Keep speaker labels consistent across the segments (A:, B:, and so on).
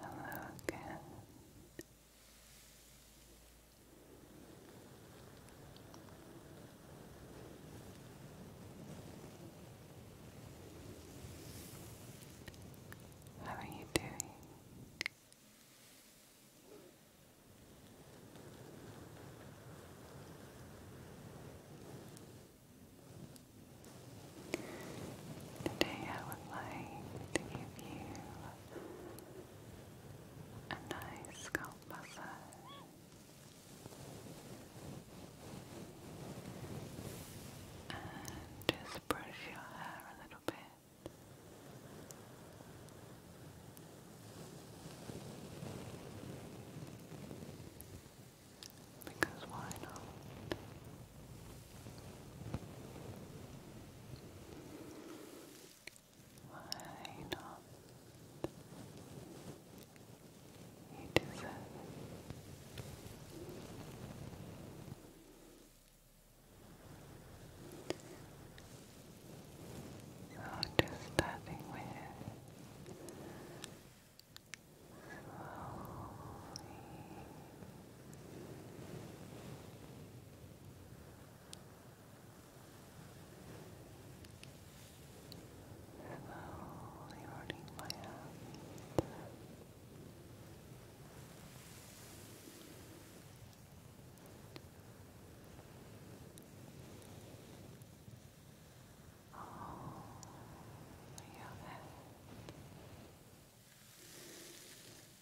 A: Hello again. How are you doing? Today I would like to give you a nice scalp massage. And just brush your hair a little bit.
B: Because why not? Why not? You deserve it. So just starting with slowly Slowly running my hands. Oh, your head.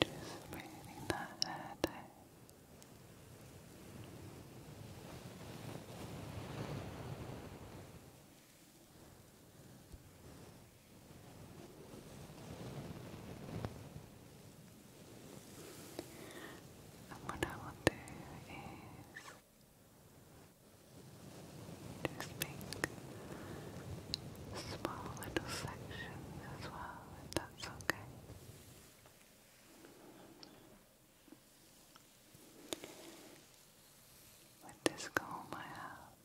C: Just breathing that air And what I will do is just make small little section as well, that's okay. With this comb I have,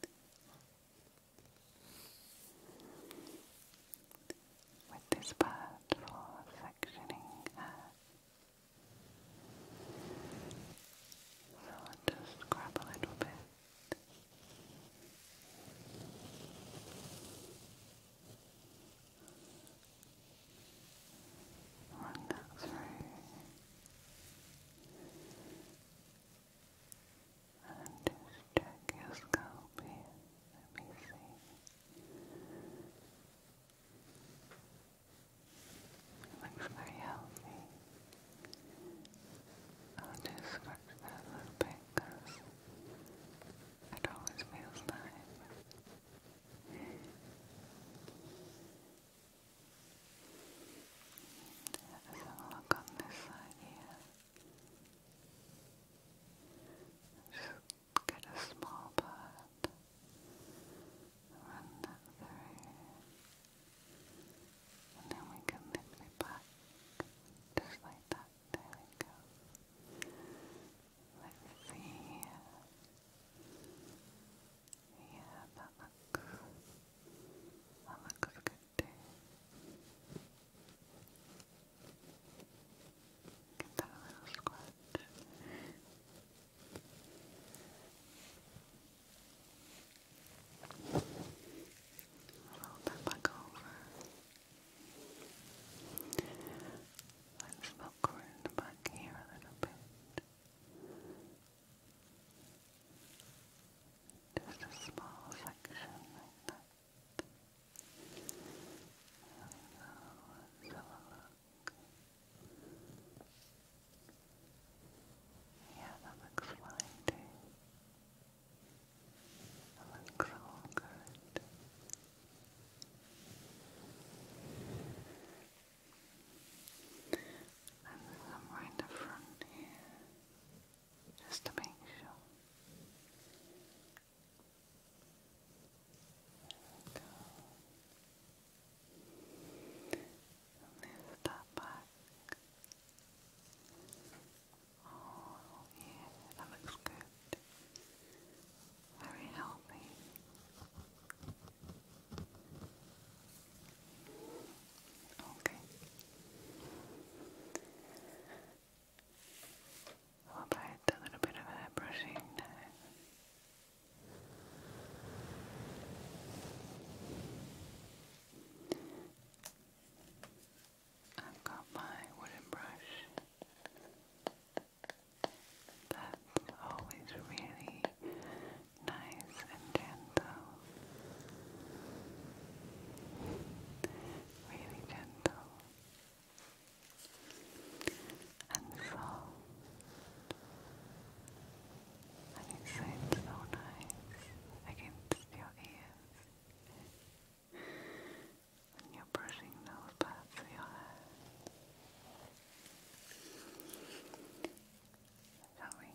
C: with this part for sectioning so i just grab a little bit. Run and just check your scalp here. Let me see. Looks very healthy. I'll just scratch that little bit it always feels nice. let a look on this side here. Just get a small part run that through, and then we can lift it back, just like that. There we go. Let's see. Yeah, that looks. That looks good too. Give a little scratch. Roll that back over. Let's look around back here a little bit. Just a small section like that. There we go. Yeah, that looks fine That looks all good. And somewhere in the front here, just to make sure. There we go. Lift that back. Oh, yeah, that looks good. Very healthy. Okay. How about a little bit of hair brushing I've got my wooden brush. That's always really nice and gentle. Really gentle and soft. And it so nice against your ears when you're brushing those parts of your hair. Shall we?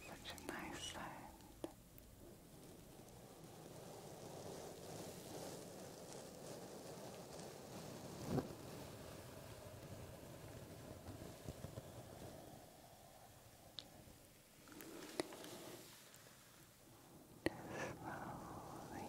C: Such a nice sound slowly so Slowly,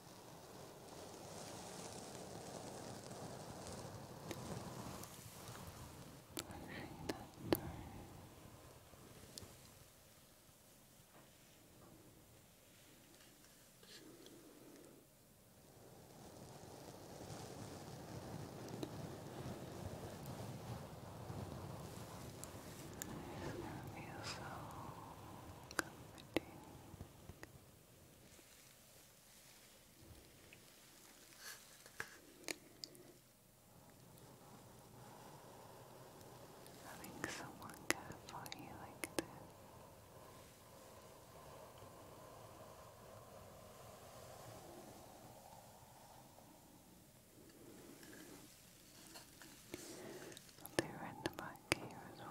C: It's going feel so comforting. Having someone care for you like this. I'll do randomized back here as well.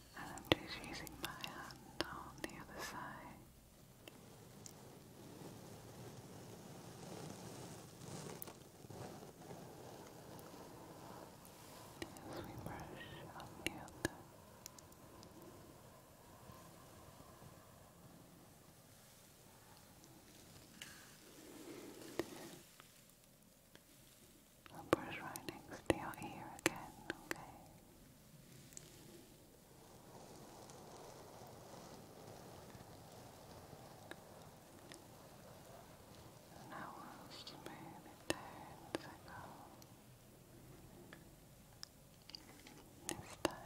C: and I'm just using my hand on the other side. As we brush on the other. I'll brush right to your again, okay? And I will smooth it down as I This time.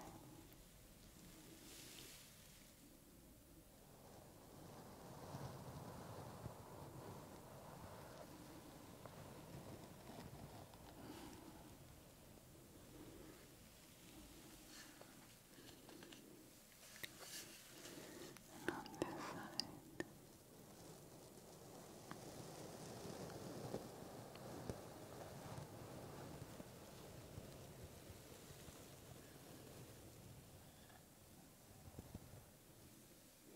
C: And on this side. Good. Also,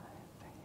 C: oh, I think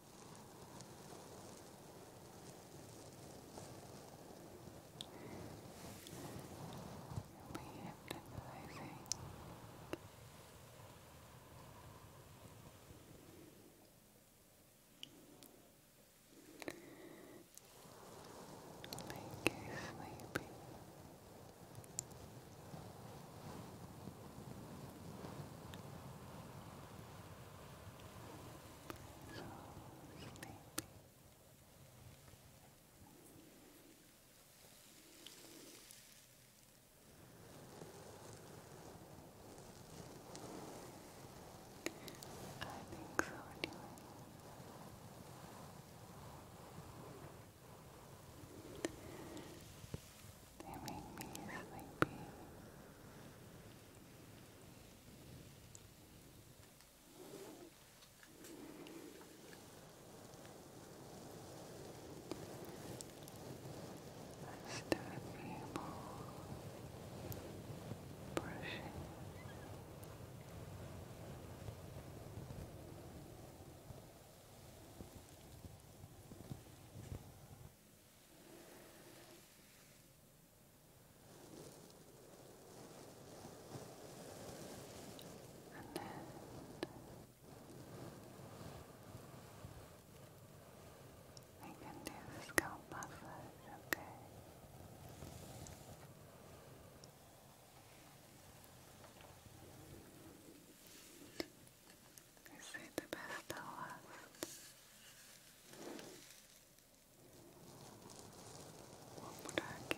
C: hypnotizing. Make you sleepy. Relax so sleepy. I think so too. They make me sleepy. Just a few more brushing. Just and then I can do the scalp massage, okay? I say the best to
A: last. Womuraki.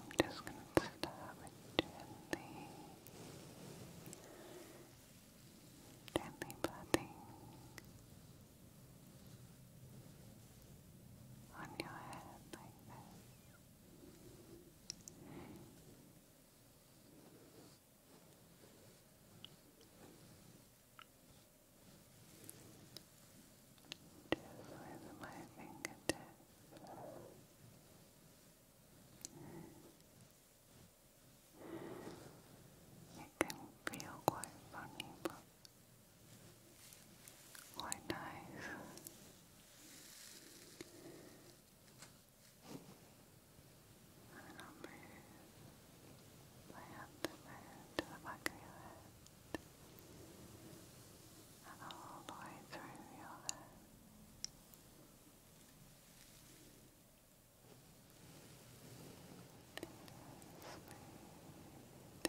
C: I'm just going to start with gently, gently patting on your head like this. Just with my fingertips, it can feel quite funny, but Quite nice. And I'll move my hand to the back of your head and all the way through your head. Smooth, deep,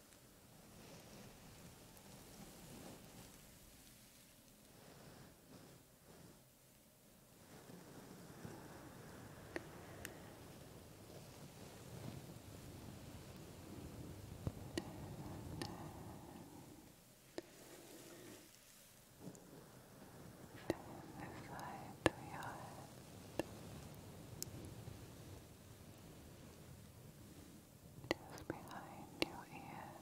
C: Down the side of your head just behind your ears.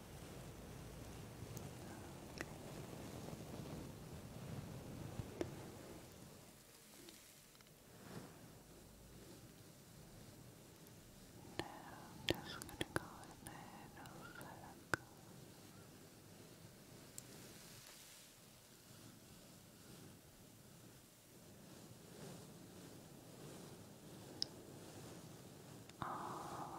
C: Now I'm just going to go in a little circle. All over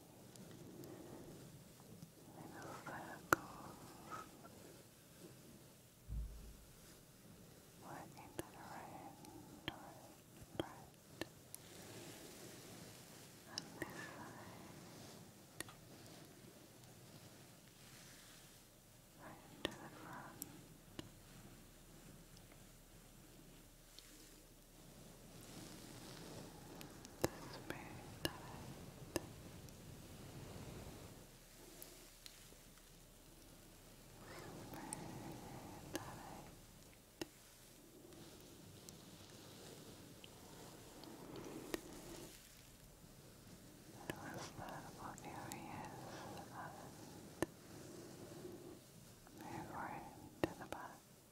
C: little circles working to the right towards right on this side right to the front that's very tight. Very tight. It was that luxurious and move right to the back.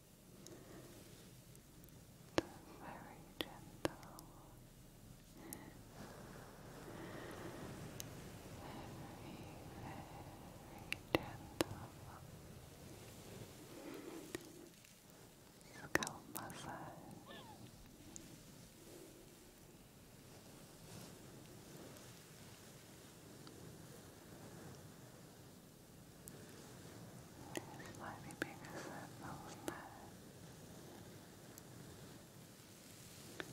C: very gentle, very, gentle scalp massage. It's slightly bigger so it feels better. This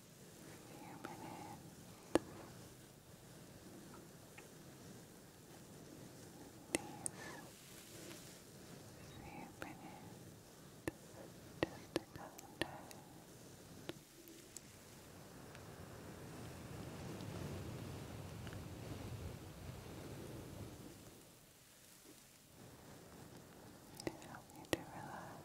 C: few minutes. These few minutes just to calm down to help you to relax.